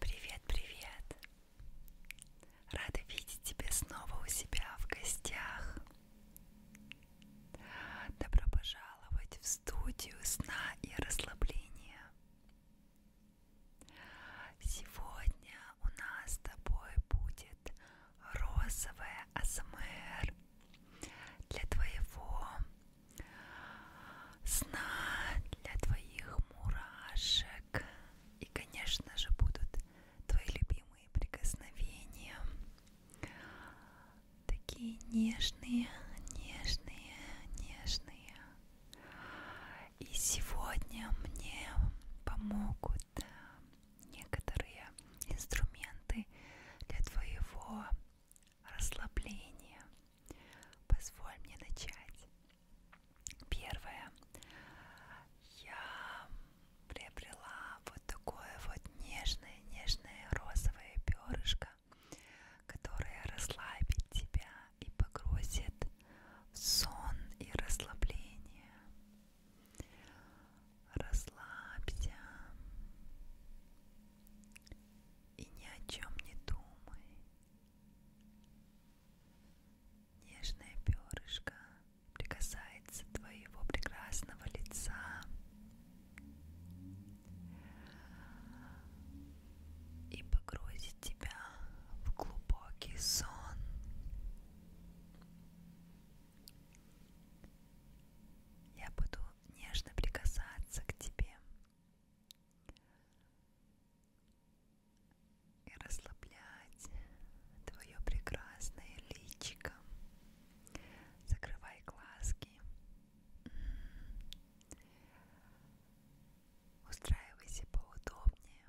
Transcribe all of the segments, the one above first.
Привет, привет! Рада видеть тебя снова у себя в гостях. Добро пожаловать в студию сна и расслабления. Сегодня у нас с тобой будет розовая АСМР для твоего сна, для твоих мурашек. И, конечно же, будут твои любимые прикосновения. Такие нежные, нежные, нежные. И сегодня мне помогут э, некоторые инструменты для твоего расслабления. Позволь мне начать. Первое. Я приобрела вот такое вот нежное-нежное розовое перышко, которое расслабит тебя и погрузит в сон и расслабление. Расслабься и ни о чем не думай. Нежное перышко прикасается твоего прекрасного лица и погрузит тебя в глубокий сон. Я буду нежно прикасаться к тебе и расслаблять твое прекрасное личико. Закрывай глазки. Устраивайся поудобнее.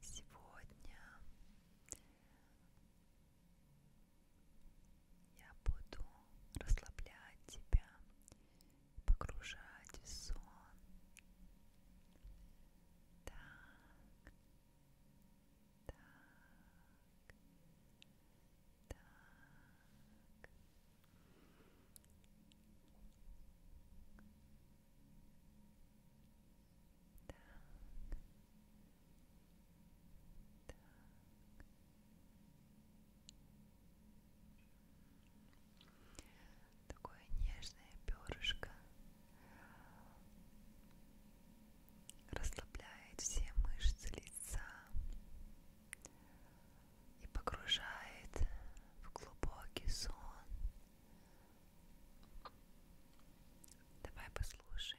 Сегодня я буду расслаблять тебя, погружать в сон. Так, так, так. Так. Так. Такое нежное перышко расслабляет все мышцы лица и погружает в глубокий сон. Давай послушаем.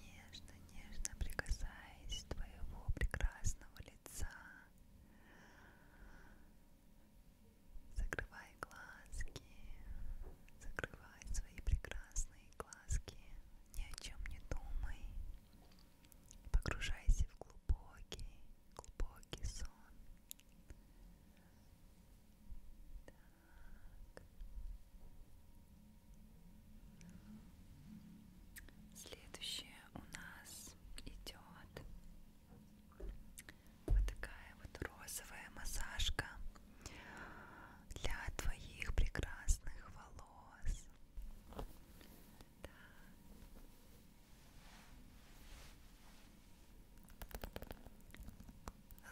Нежно, нежно прикасаясь твоего прекрасного лица. Закрывай глазки, закрывай свои прекрасные глазки, ни о чем не думай, погружайся в глубокий, глубокий сон. Так. Следующее у нас идет вот такая вот розовая массажка для твоих прекрасных волос. Да.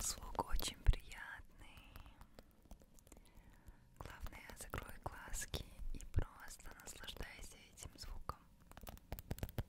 Звук очень приятный. Главное, закрой глазки и просто наслаждайся этим звуком. М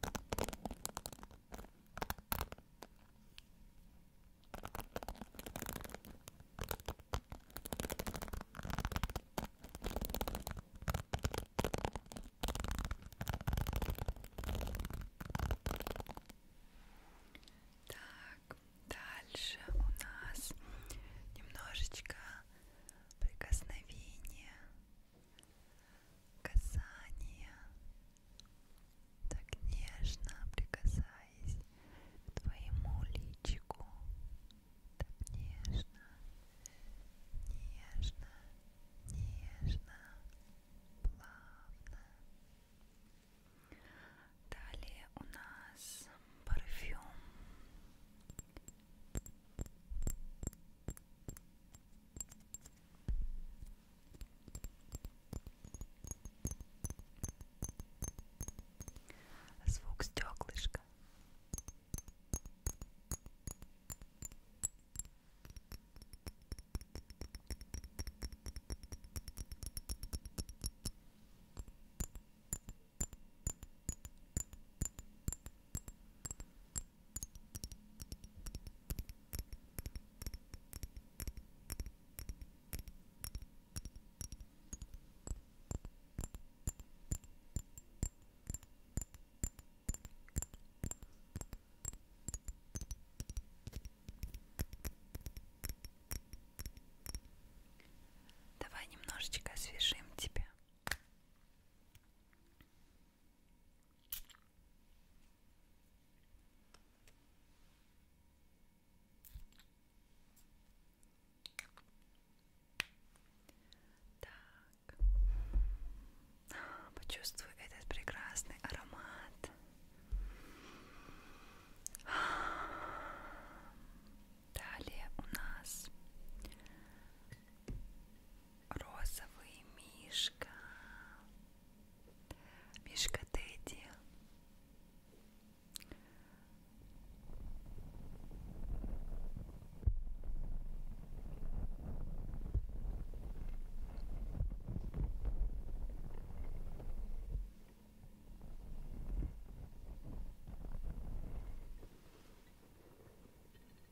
Так, дальше у нас немножечко прикосновения касание. Так нежно прикасаясь к твоему личику. Так нежно, нежно, нежно, плавно. Далее у нас парфюм Звук стеклышка. Давай немножечко освежим тебя. Так. Почувствуй этот прекрасный аромат. Далее у нас розовый мишка. Мишка Тедди.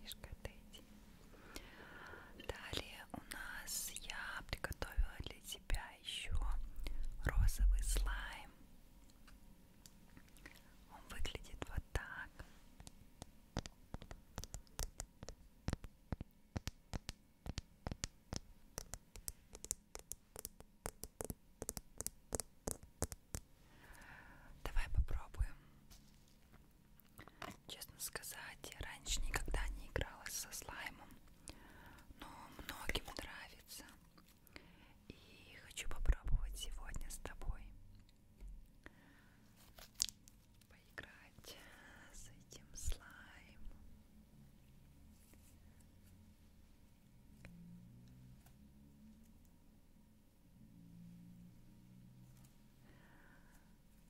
Мишка, отойди. Далее у нас я приготовила для тебя еще розовый слайм. Он выглядит вот так. Давай попробуем. Честно сказать, я раньше никогда не играла со слаймом, но многим нравится. И хочу попробовать сегодня с тобой поиграть с этим слаймом.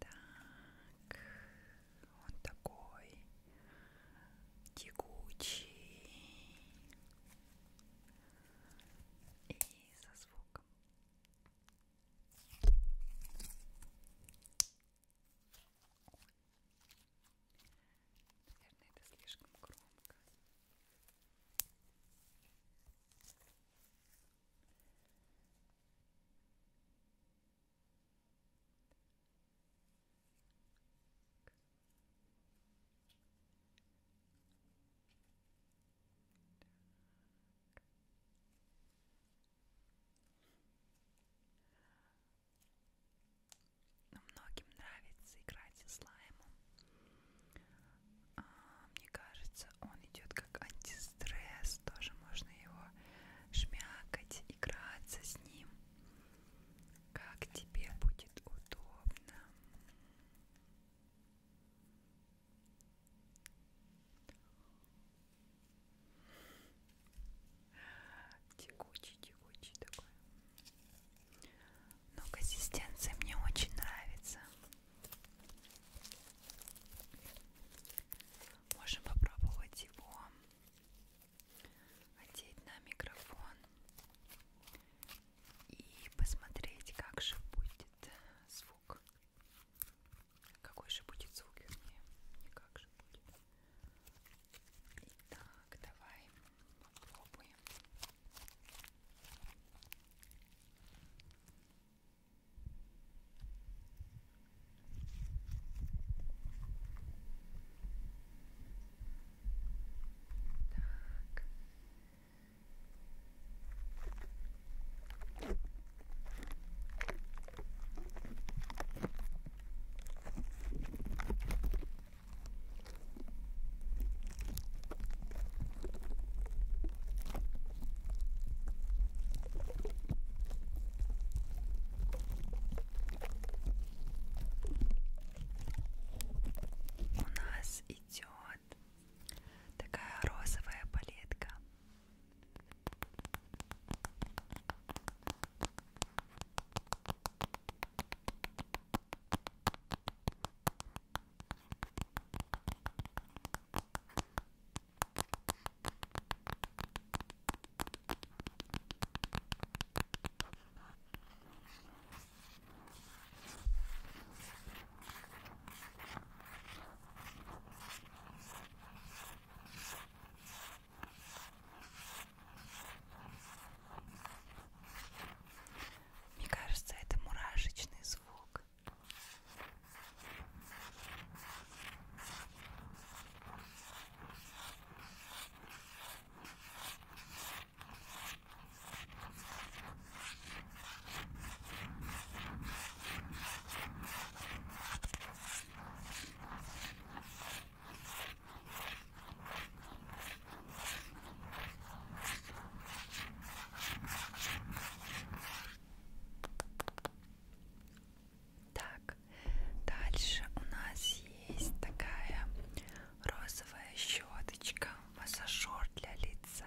Так, он такой тягучий и со звуком Наверное, это слишком громко. Так. Так. Но многим нравится играть со слаймом. А, мне кажется, он идет как антистресс. Тоже можно его шмякать, играться с ним. Как тебе будет удобно. Текучий, текучий такой. Но консистенция мне очень нравится. Можем попробовать его одеть на микрофон и посмотреть, как же будет звук. Какой же будет звук, вернее, никак же будет. Итак, давай попробуем. Так, у нас идет вот. Такая розовая палетка. Мне кажется, это мурашечный звук. Так, дальше у нас есть такая розовая щеточка, массажер для лица.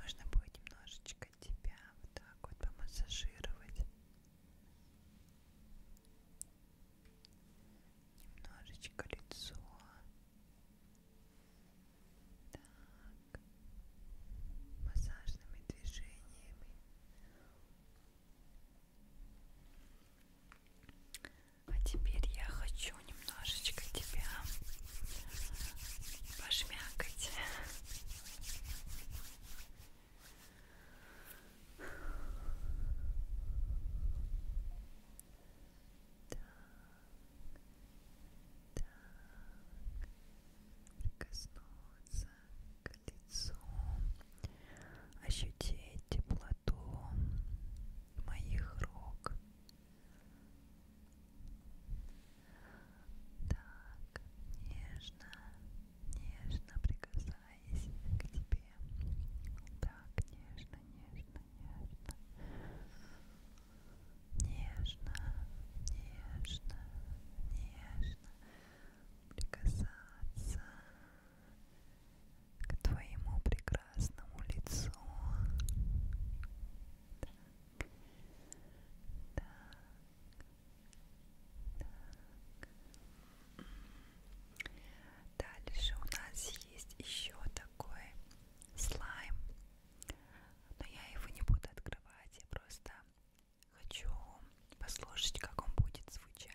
Можно будет немножечко тебя вот так вот помассажировать. Немножечко лицо. Так, массажными движениями а теперь я хочу немножечко тебя пошмякать так, прикоснуться к лицу, ощутить теплоту моих рук. Так, нежно, нежно прикасаясь прикасаясь к тебе так нежно, нежно, нежно нежно, нежно, нежно прикасаться к твоему прекрасному лицу так, так, так. Дальше у нас есть еще такой слайм. Но я его не буду открывать. Я просто хочу послушать, как он будет звучать.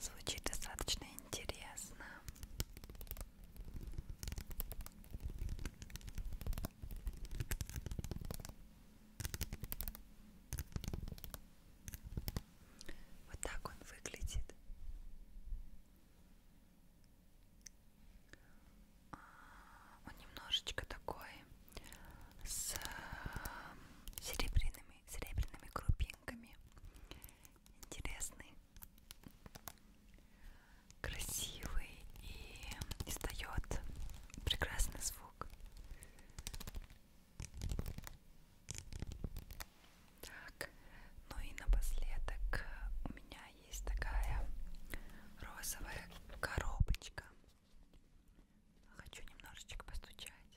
Звучит достаточно интересно. Вот так он выглядит. А, он немножечко такой с э, серебряными, серебряными крупинками интересный, красивый и издает прекрасный звук. Так, ну и напоследок у меня есть такая розовая коробочка. Хочу немножечко постучать.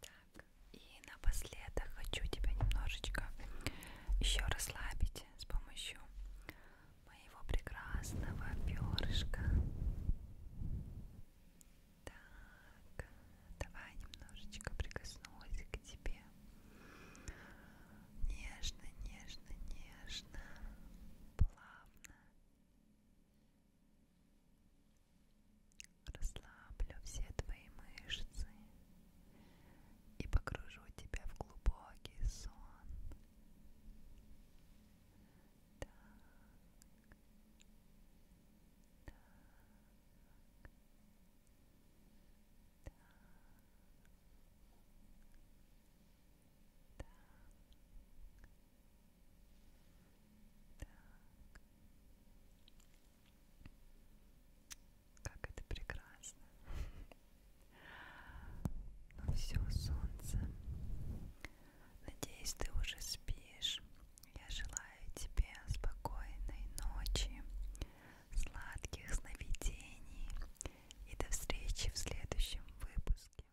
Так, и напоследок хочу тебя немножечко еще расслабить с помощью моего прекрасного перышка. Так, давай немножечко прикоснусь к тебе. Нежно, нежно, нежно, плавно. Расслаблю все твои мышцы и погружу тебя в глубокий сон. Так. Так. Так. Так. Так. Как это прекрасно. Ну все, солнце. Надеюсь, ты уже спишь. Я желаю тебе спокойной ночи, сладких сновидений и до встречи в следующем выпуске.